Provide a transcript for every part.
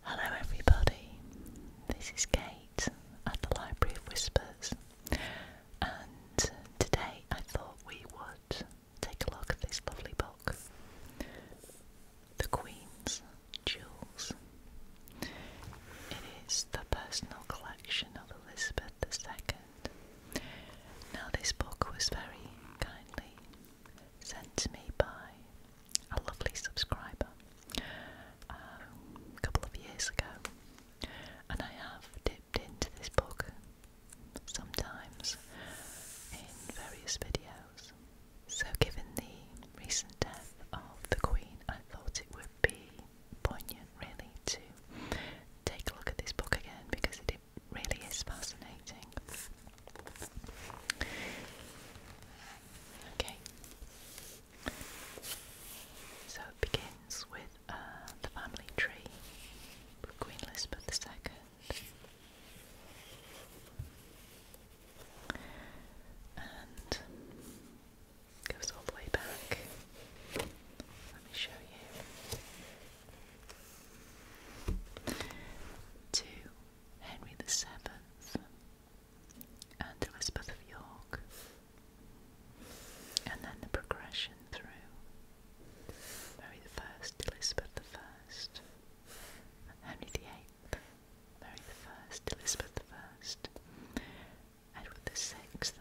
Hello, everybody. This is Kate at the Library of Whispers, and today I thought we would take a look at this lovely book, The Queen's Jewels. It is the personal collection of Elizabeth II. Now, this book was very kindly sent to me by a lovely subscriber um, a couple of years ago, and I have dipped into this book sometimes in various videos. So, given the recent death of the Queen, I thought it would be poignant really to take a look at this book again because it really is fascinating. Okay. So it begins with uh, the family tree Queen Elizabeth II. And goes all the way back. Let me show you. To Henry VII, and Elizabeth of York, and then the progression through Mary I, Elizabeth I, Henry VIII, Mary I, Elizabeth I, Edward VI,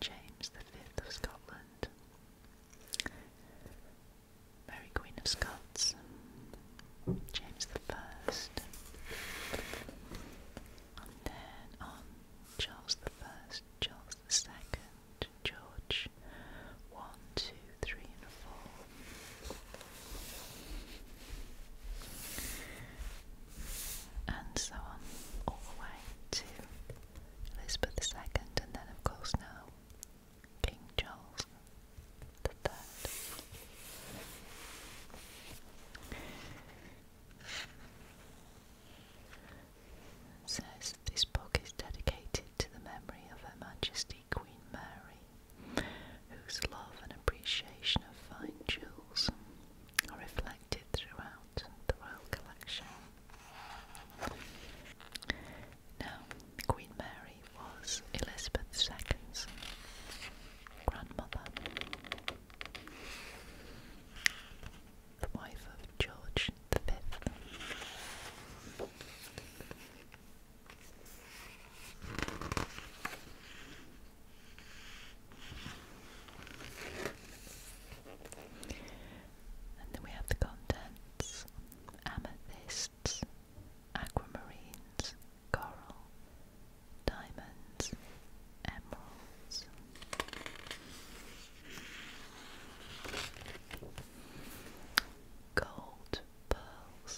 James V of Scotland. Mary Queen of Scots, James the First, and then on Charles the First, Charles the Second, George, one, two, three, and four. And so on, all the way to Elizabeth II, and then, of course, now King Charles the Third. Says this book is dedicated to the memory of Her Majesty Queen Mary, whose love and appreciation of fine jewels are reflected throughout the royal collection. Now, Queen Mary was Elizabeth II's grandmother, the wife of George V. And then we have the contents amethysts, aquamarines, coral, diamonds, emeralds. Gold, pearls,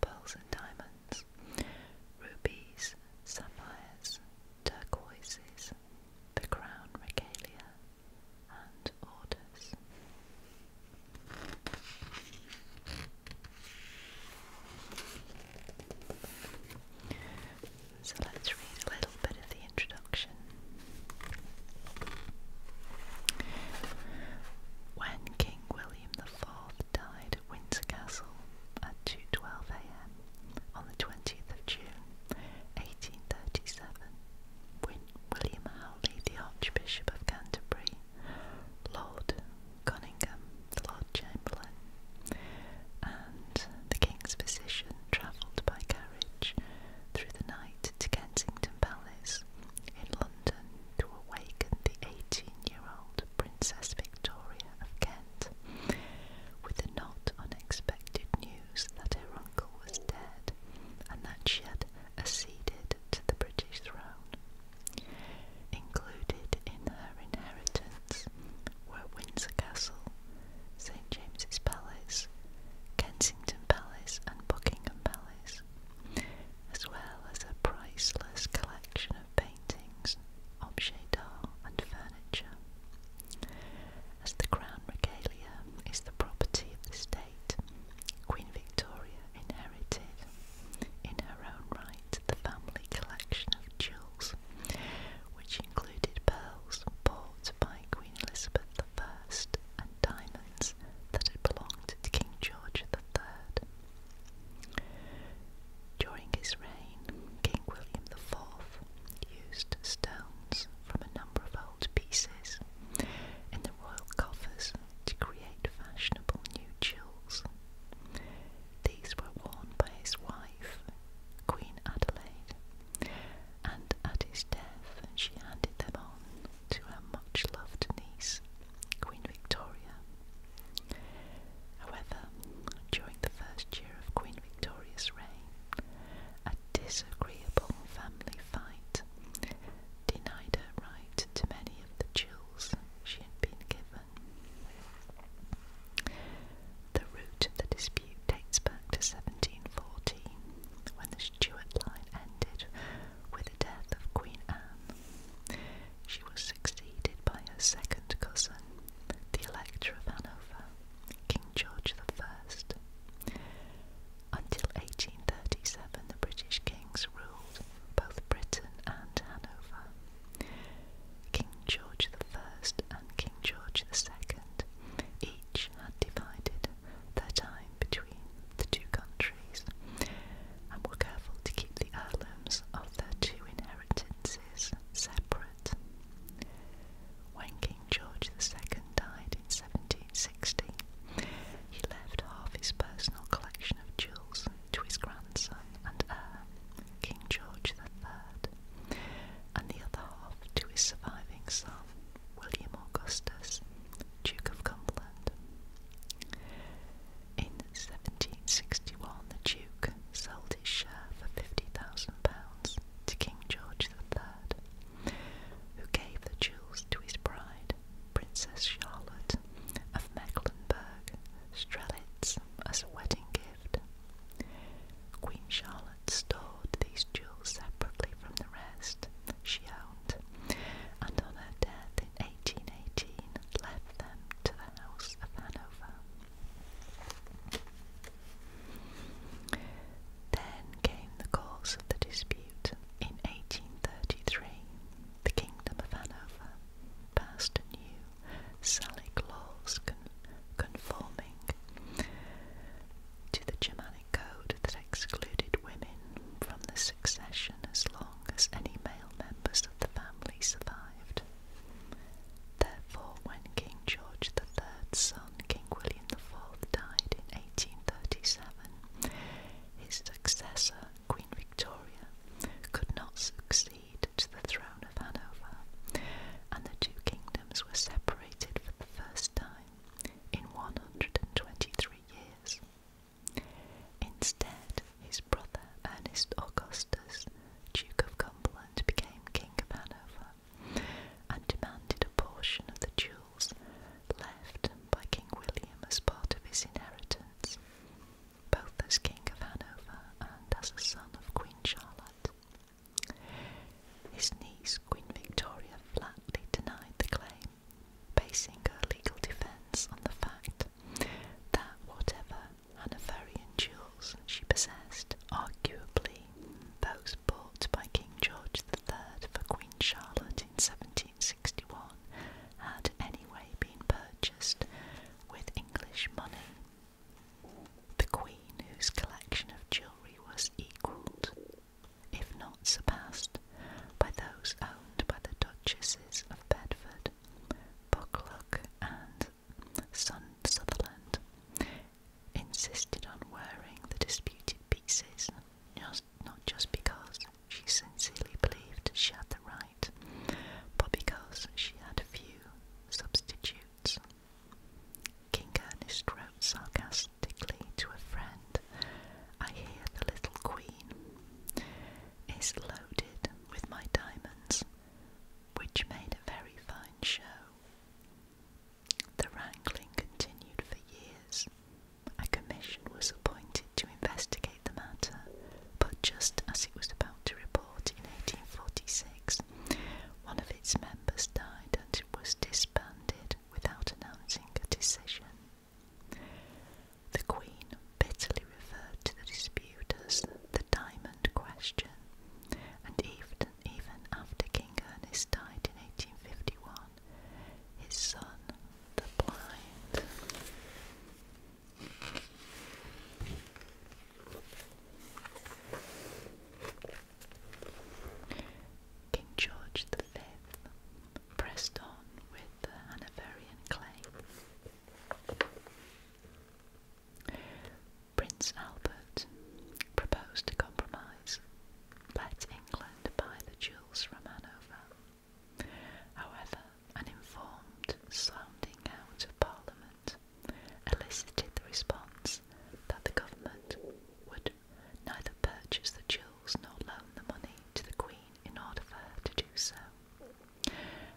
pearls and diamonds, rubies, sapphires, turquoises, the crown regalia, and orders. So let's read a little bit of the introduction. When King William IV died at Windsor Castle at 2.12am on the 20th of June 1837, William Howley, the Archbishop of Canterbury, Lord Cunningham, the Lord Chamberlain, and the King's physician travelled by carriage through the night to Kensington Palace in London to awaken the 18-year-old Princess Victoria of Kent with the not unexpected news that her uncle was dead and that she had acceded to the British throne. Included in her inheritance were Windsor Castle, St James's Palace, Kensington Palace, and Buckingham Palace, as well as a priceless collection of paintings, objets d'art, and furniture. As the Crown Regalia is the property of the state, Queen Victoria inherited, in her own right, the family collection of jewels, which included pearls bought by Queen Elizabeth I and diamonds that had belonged to King George III. During his reign, King William IV used stones from a number of gold pieces in the royal coffers to create fashionable new jewels. These were worn by his wife, Queen Adelaide, and at his death she handed them on to her much loved niece, Queen Victoria. However, during the first year of Queen Victoria's reign, a disagreeable family fight denied her right to many of the jewels she had been given. The root of the dispute dates back to 1714, when the Stuart line ended with the death of Queen Anne. She was succeeded by her second cousin, the Elector of Hanover, King George the First. Until 1837, the British kings ruled both Britain and Hanover. King George I and King George II each had divided their time between the two countries and were careful to keep the heirlooms of their two inheritances separate. When King George II died in 1760, he left half his personal collection of jewels to his grandson and heir, King George III, and the other half to his surviving son, William Augustus, Duke of Cumberland. In 1761, the Duke sold his share for £50,000 to King George III, who gave the jewels to his bride, Princess Charlotte of Mecklenburg Strelitz, as a wedding gift. Queen Charlotte stored these jewels separately from the rest she owned, and on her death in 1818 left them to the House of Hanover. Then came the cause of the dispute in 1833, the Kingdom of Hanover passed a new Salic laws conforming to the Germanic Code that excluded women from the succession as long as any male members of the family survived. Therefore, when King George the Third's son, King William the Fourth, died in 1837, his successor, Queen Victoria, could not succeed to the throne of Hanover, and the two kingdoms were separated for the first time in 123 years. Instead, his brother Ernest Augustus, Duke of Cumberland, became King of Hanover and demanded a portion of the jewels left by King William as part of his inheritance, both as King of Hanover and as a son of Queen Charlotte. His niece, Queen Victoria, flatly denied the claim, basing her legal defence on the fact that whatever Hanoverian jewels she possessed, arguably those bought by King George III for Queen Charlotte in 17 1861 had anyway been purchased with English money. The Queen, whose collection of jewellery was equalled, if not surpassed, by those owned by the Duchesses of Bedford, Buccleuch, and Sutherland, insisted on wearing the disputed pieces not just because she sincerely believed she had the right, but because she had a few substitutes. King Ernest wrote sarcastically to a friend, I hear the little queen is loaded with my diamonds, which made a very fine show. The wrangling continued for years, a commission was appointed to investigate the matter, but just as it was about to report in 1846, one of its members died and it was disbanded without announcing a decision. The Queen bitterly referred to the dispute as the Diamond Question, and even, even after King Ernest died in 1851, his son, the blind. King George the Fifth, pressed on with the Hanoverian claim. Prince Albert proposed a compromise. Let England buy the jewels from Hanover However, an informed sounding out of Parliament elicited the response that the government would neither purchase the jewels nor loan the money to the Queen in order for her to do so.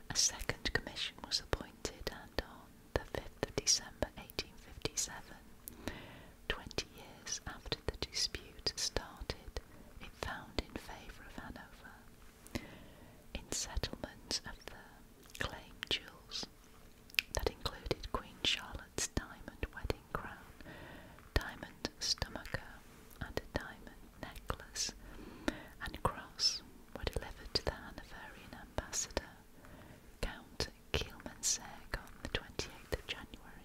A second commission was appointed, and on the 5th of December 1857, Twenty years after the dispute started, it found in favour of Hanover in settlement of the claim jewels that included Queen Charlotte's diamond wedding crown, diamond stomacher, and a diamond necklace and cross were delivered to the Hanoverian ambassador, Count Kielmansegg, on the 28th of January.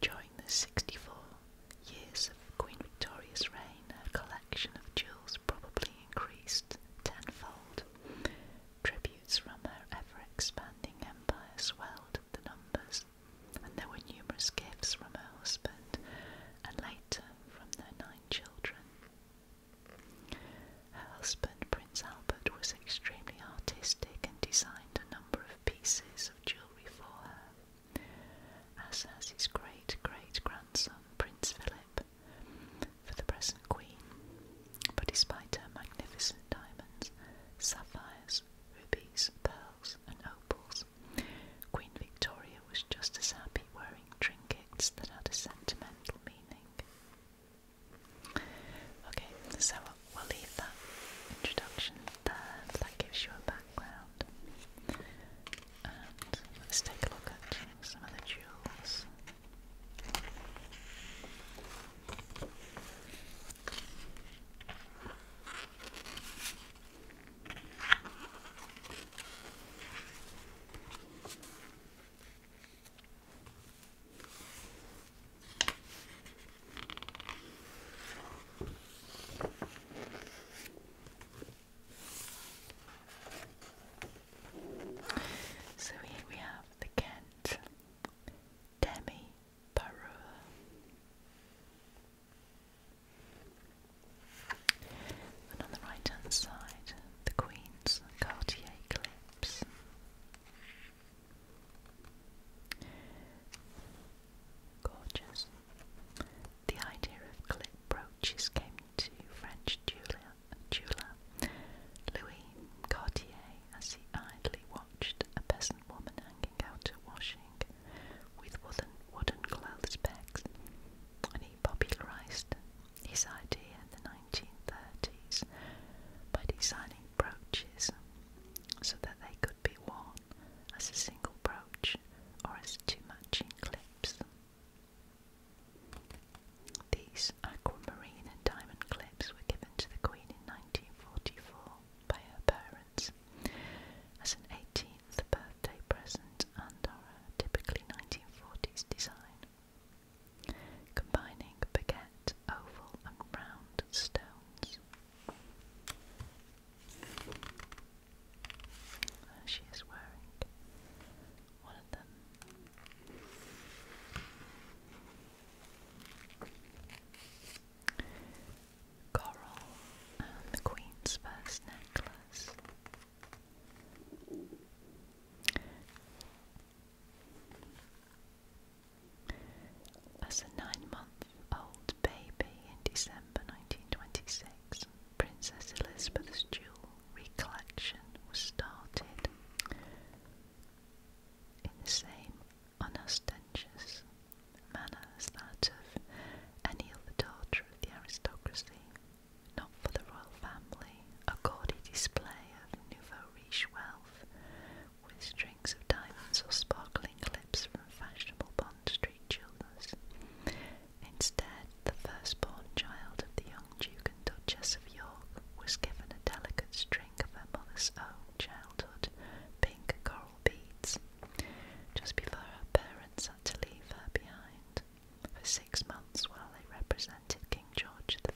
During the 64 years of Queen Victoria's reign, her collection of jewels probably increased tenfold. Tributes from her ever expanding empire swelled the numbers, and there were numerous gifts from her husband and later from their nine children. Her husband, Prince Albert, was extremely artistic and designed a number of pieces of jewellery for her, as has his great great grandson, Prince Philip, for the present Queen. But despite her magnificent diamonds, sapphires, rubies, pearls, and opals, Queen Victoria was just as happy wearing trinkets that had a sentimental meaning. Okay, so we'll leave that introduction there, that gives you a background. And let's take a look at some of the jewels. So here we have the Kent Demi Parure. And on the right hand side, the Queen's Cartier Eclipse. Gorgeous. The idea of clip brooches came to French jeweller, jeweller Louis Cartier as he idly watched a peasant woman hanging out her washing with wooden, wooden clothes pegs and he popularized his idea in the 1930s by designing brooches so that they could be worn as a single brooch or as two matching clips. These aquamarine and diamond clips were given to the Queen in 1944 by her parents as an 18 the birthday present and are a uh, typically 1940s design, combining baguette, oval and round stones. she is wearing one of them. Coral and the Queen's first necklace, as a nine month old baby in December 1926, Princess Elizabeth's jewel collection was started in the same unostentatious manner as that of any other daughter of the aristocracy not for the royal family, a gaudy display of nouveau riche wealth, with strings of diamonds or sparkling clips from fashionable Bond Street jewelers. Instead, the firstborn child of the young Duke and Duchess of York was given a delicate string of her mother's own childhood pink coral beads, just before her parents had to leave her behind for six months while they represented King George V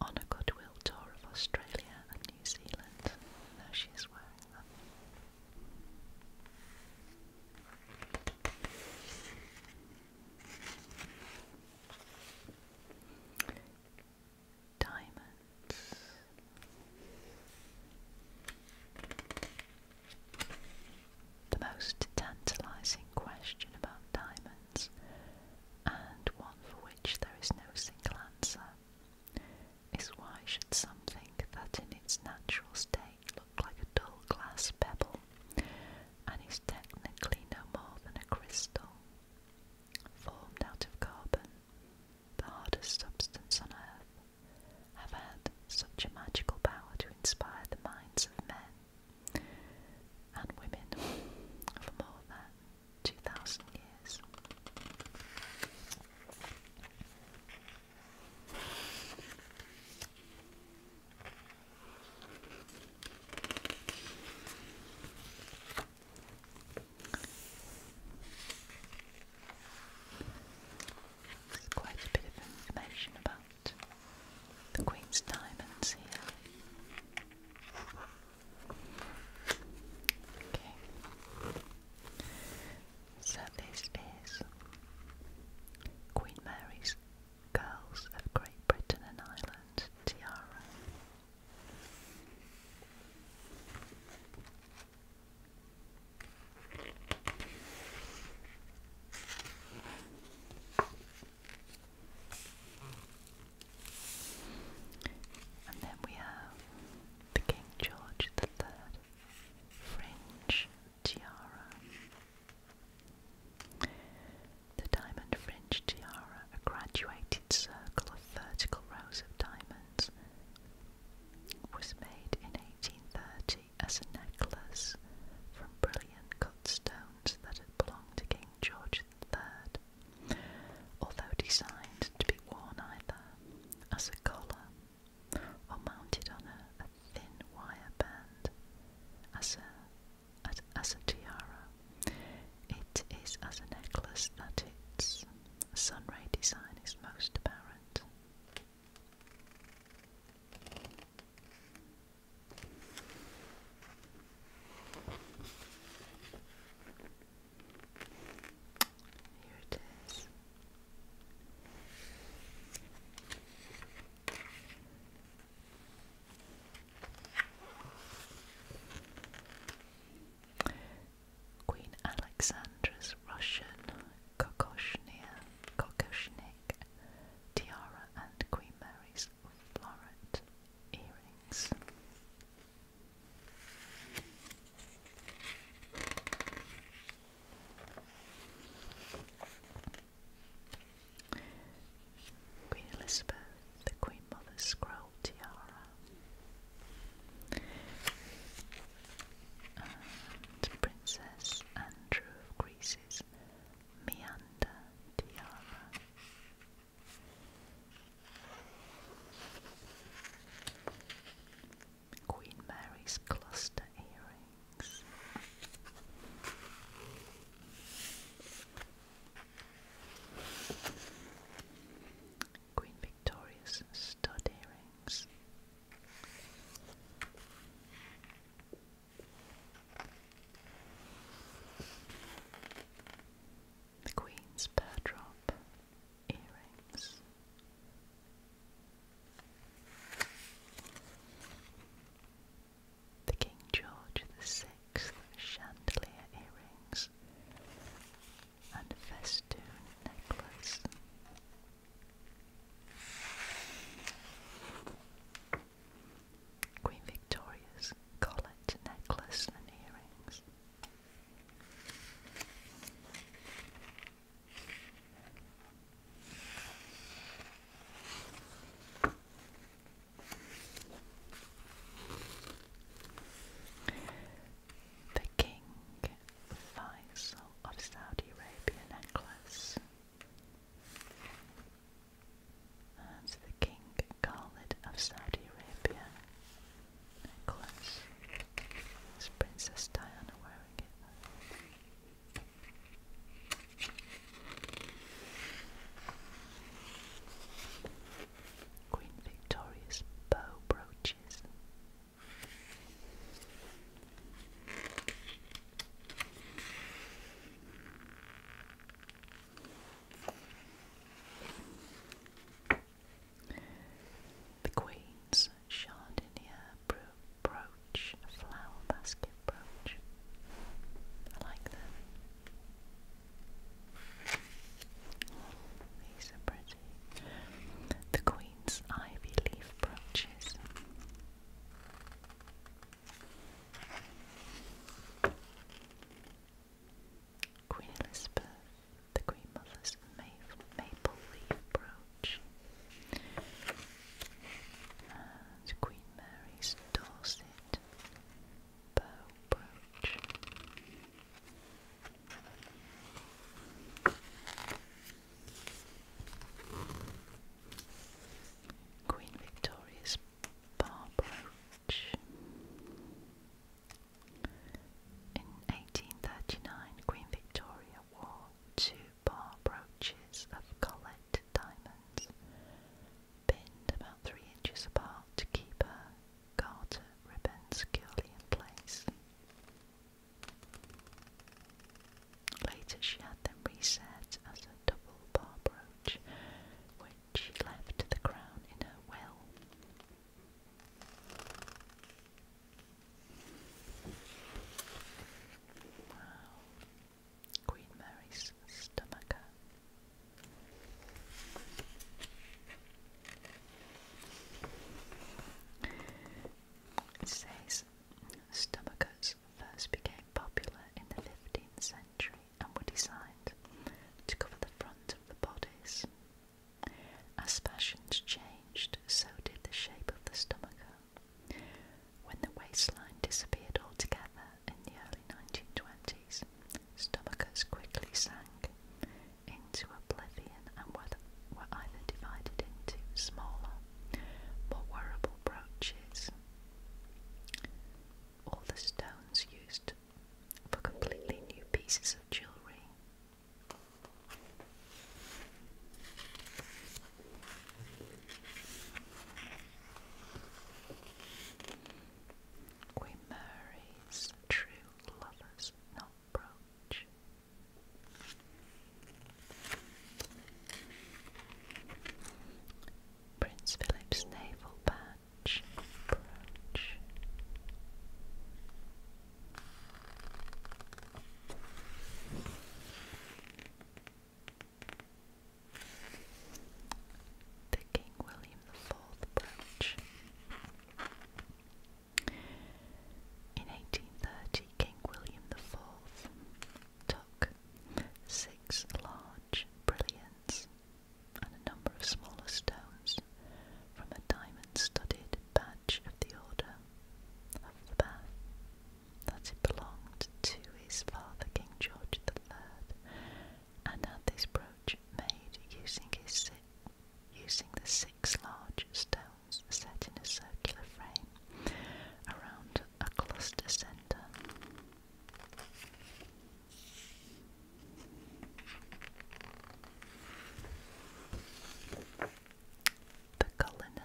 on a goodwill tour of Australia and New Zealand. Now she wearing them. Diamonds. The most tantalizing question about diamonds, and one for which there is no single answer, is why should something that in its natural state look like a dull glass pebble and is technically no more than a crystal formed out of carbon, the hardest substance on earth, have had such a magical power to inspire the minds of men and women for more than 2,000 years quite a bit of information about the Queen's diamonds here. Okay. So this is Queen Mary's Girls of Great Britain and Ireland tiara. And then we have the King George the Third fringe tiara. The diamond fringe tiara, a graduated circle of vertical rows of diamonds, was made in 1830 as a necklace from brilliant cut stones that had belonged to King George III, although designed to be worn either as a collar or mounted on a, thin wire band as a tiara. It is as a necklace that its sunray design is most apparent. Here it is. Queen Alexandra's Russian Kokoshnia, Kokoshne tiara, and Queen Mary's floret earrings. Queen Elizabeth, the Queen Mother's scroll tiara, Princess Anne True of Greece's Meander Tiara. Queen Mary's cluster earrings. Queen Victoria's stud earrings. The Queen's Perdrop earrings. The King George VI chandelier earrings and festoon necklace. Queen Victoria's collet, necklace, and earrings. The King Faisal of Saudi Arabia necklace. That's the King Khalid of Saudi Arabia necklace. Is Princess Diana wearing it? Queen Victoria's bow brooches. The Queen's Chardonnay bro brooch, flower basket brooch. I like them. these are pretty. The Queen's Ivy Leaf brooches. Queen Elizabeth, the Queen Mother's Maple, maple Leaf Brooch, and Queen Mary's Dorset Bow Brooch. Queen Victoria's Barbroach. In 1839, Queen Victoria wore two bar brooches of Colette diamonds, pinned about three inches apart to keep her garter ribbon securely in place. Later, she had them reset as a double bar brooch, which she left the crown in her well. Queen Mary's stomacher. It stomachers first became popular in the 15th century and were designed to cover the front of the bodies. As fashions changed, so did the shape of the stomacher. When the waistline disappeared altogether in the early 1920s, stomachers quickly sank into oblivion and were either divided into smaller more wearable brooches. All the stones used for completely new pieces of jewellery. Queen Mary's true lover's knot brooch. Prince Philip's naval patch The King William IV brooch. In 1830, King William the Fourth took six large brilliants and a number of smaller stones from a diamond-studded badge of the Order of the Bath that it belonged to his father King George the Third, and had this brooch made using his using the six large stones set in a circular frame around a cluster center. The Cullinan.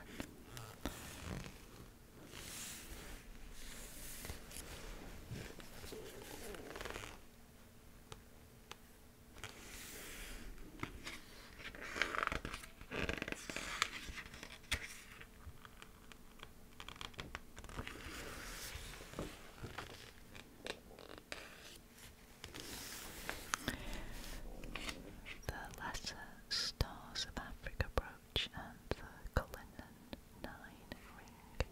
The Lesser Stars of Africa brooch and the Cullinan Nine ring.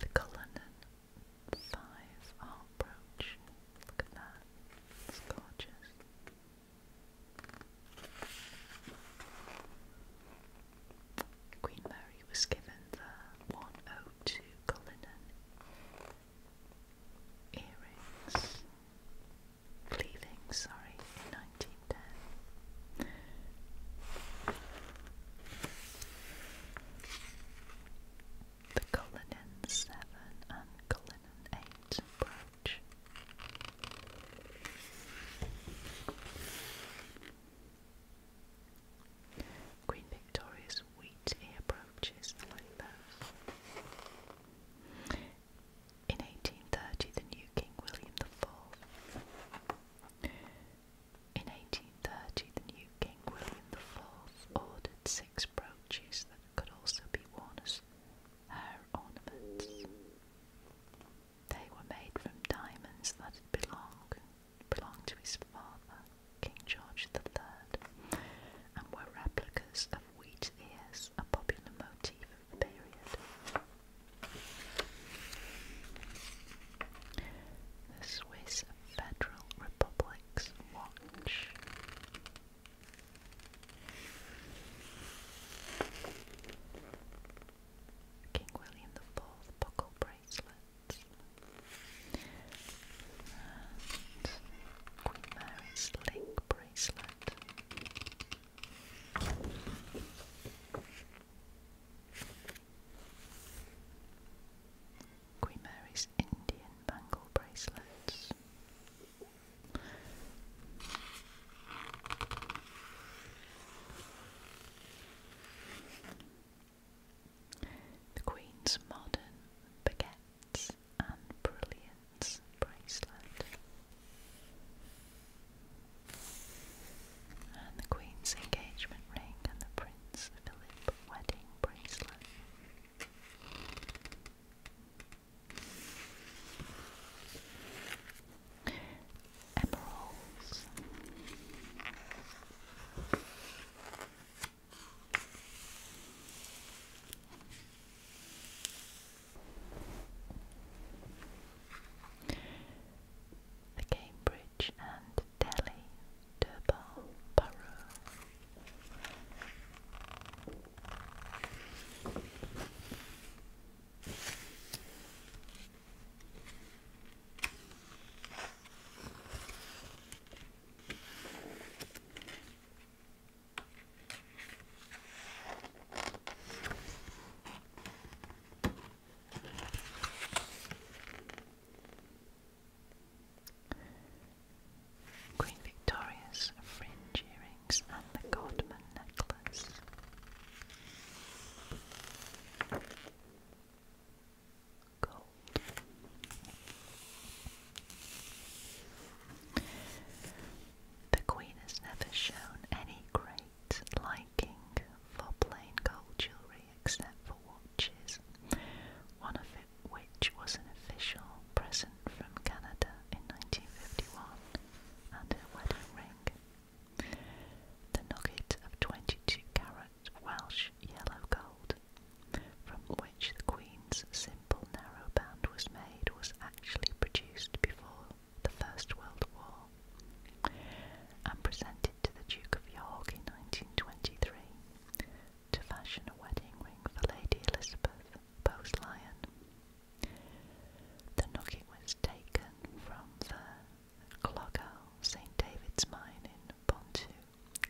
The Cullinan five R brooch. Look at that. It's gorgeous. Queen Mary was given the 102 Cullinan earrings, pleathings, sorry, 19 the Cullinan seven and Cullinan eight brooch. Queen Victoria's wheat ear brooches In 1830, the new King William the Fourth. In 1830, the new King William IV ordered six brooches that could also be worn as hair ornaments. They were made from diamonds that had belonged, belonged to his father, King George III, and were replicas of wheat ears, a popular motif period. The Swiss Federal Republic's Watch. King William IV buckle bracelets. And Queen Mary's link bracelet. Queen Mary's Indian bangle bracelets. The Queen's modern baguettes and brilliants bracelet and the Queen's engagement ring and the Prince Philip wedding bracelet. Emeralds the Cambridge and Delhi Durbar Borough. Queen Victoria's fringe earrings and the Godman necklace. The Queen has never shown any great great liking for plain gold jewellery except for watches, one of it which was an official present from Canada in 1951 and her wedding ring. The nugget of 22 carat Welsh yellow gold from which the Queen's simple narrow band was made was actually produced before the First World War, and presented to the Duke of York in 1923 to fashion a wedding ring for Lady Elizabeth bowes The knocking was taken from the Clogau St David's mine in Pontu,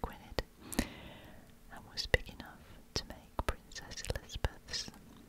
and was big enough to make Princess Elizabeth's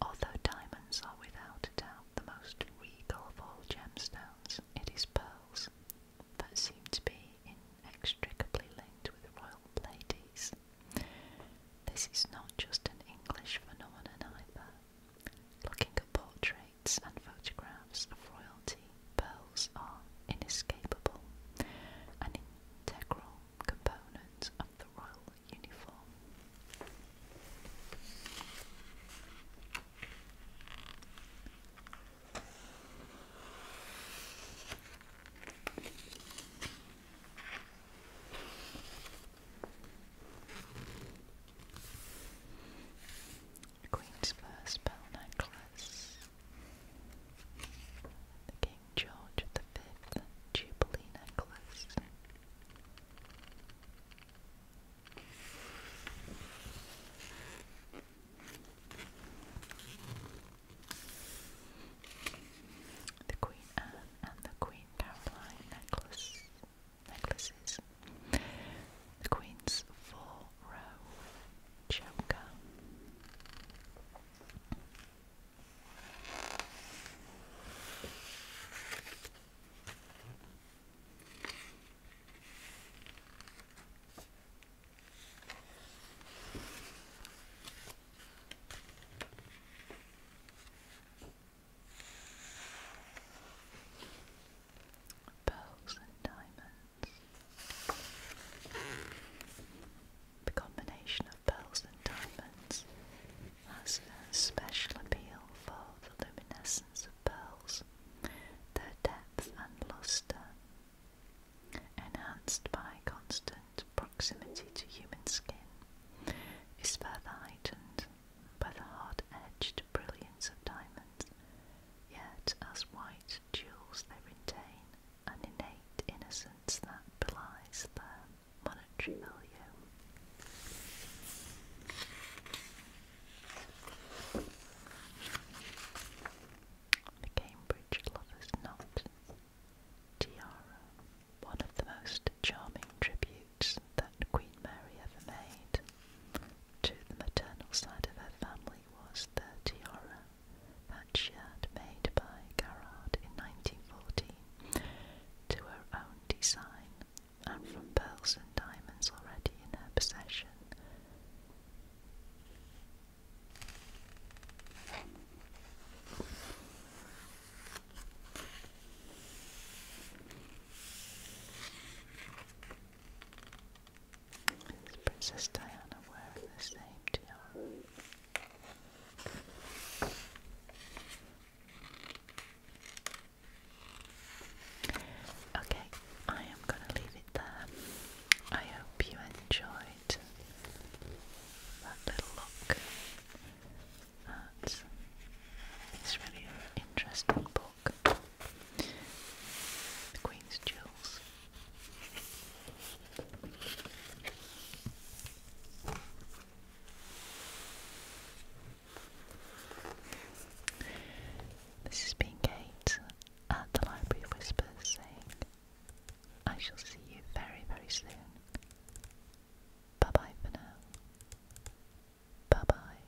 Although diamonds are without doubt the most regal of gemstones, it is pearls that seem to be inextricably linked with royal ladies. This is not just an English phenomenon either. Looking at poetry and photographs of royalty, pearls are inescapable, an integral component of the royal uniform. The Queen's first pearl necklace. King George V Jubilee necklace. The Queen Anne and the Queen Caroline necklace necklaces. The Queen's four row choker pearls and diamonds. The combination of pearls and diamonds has special appeal for the luminescence of pearls, their depth and luster, enhanced by constant proximity to human skin, is further heightened by the hard-edged brilliance of diamonds Yet, as white jewels, they retain an innate innocence that belies their monetary value. The Cambridge Lover's Knot Tiara, one of the most charming tributes that Queen Mary ever made to the maternal side of her family was the tiara that made by Garrard in 1914 to her own design and from pearls and diamonds already in her possession. Princess Diana wearing the same tiara? Okay, I am going to leave it there. I hope you enjoyed that little look at this really interesting book. The Queen's Jewels. This is being Kate at the Library of Whispers saying, I shall see you very, very soon. Bye bye for now. Bye bye.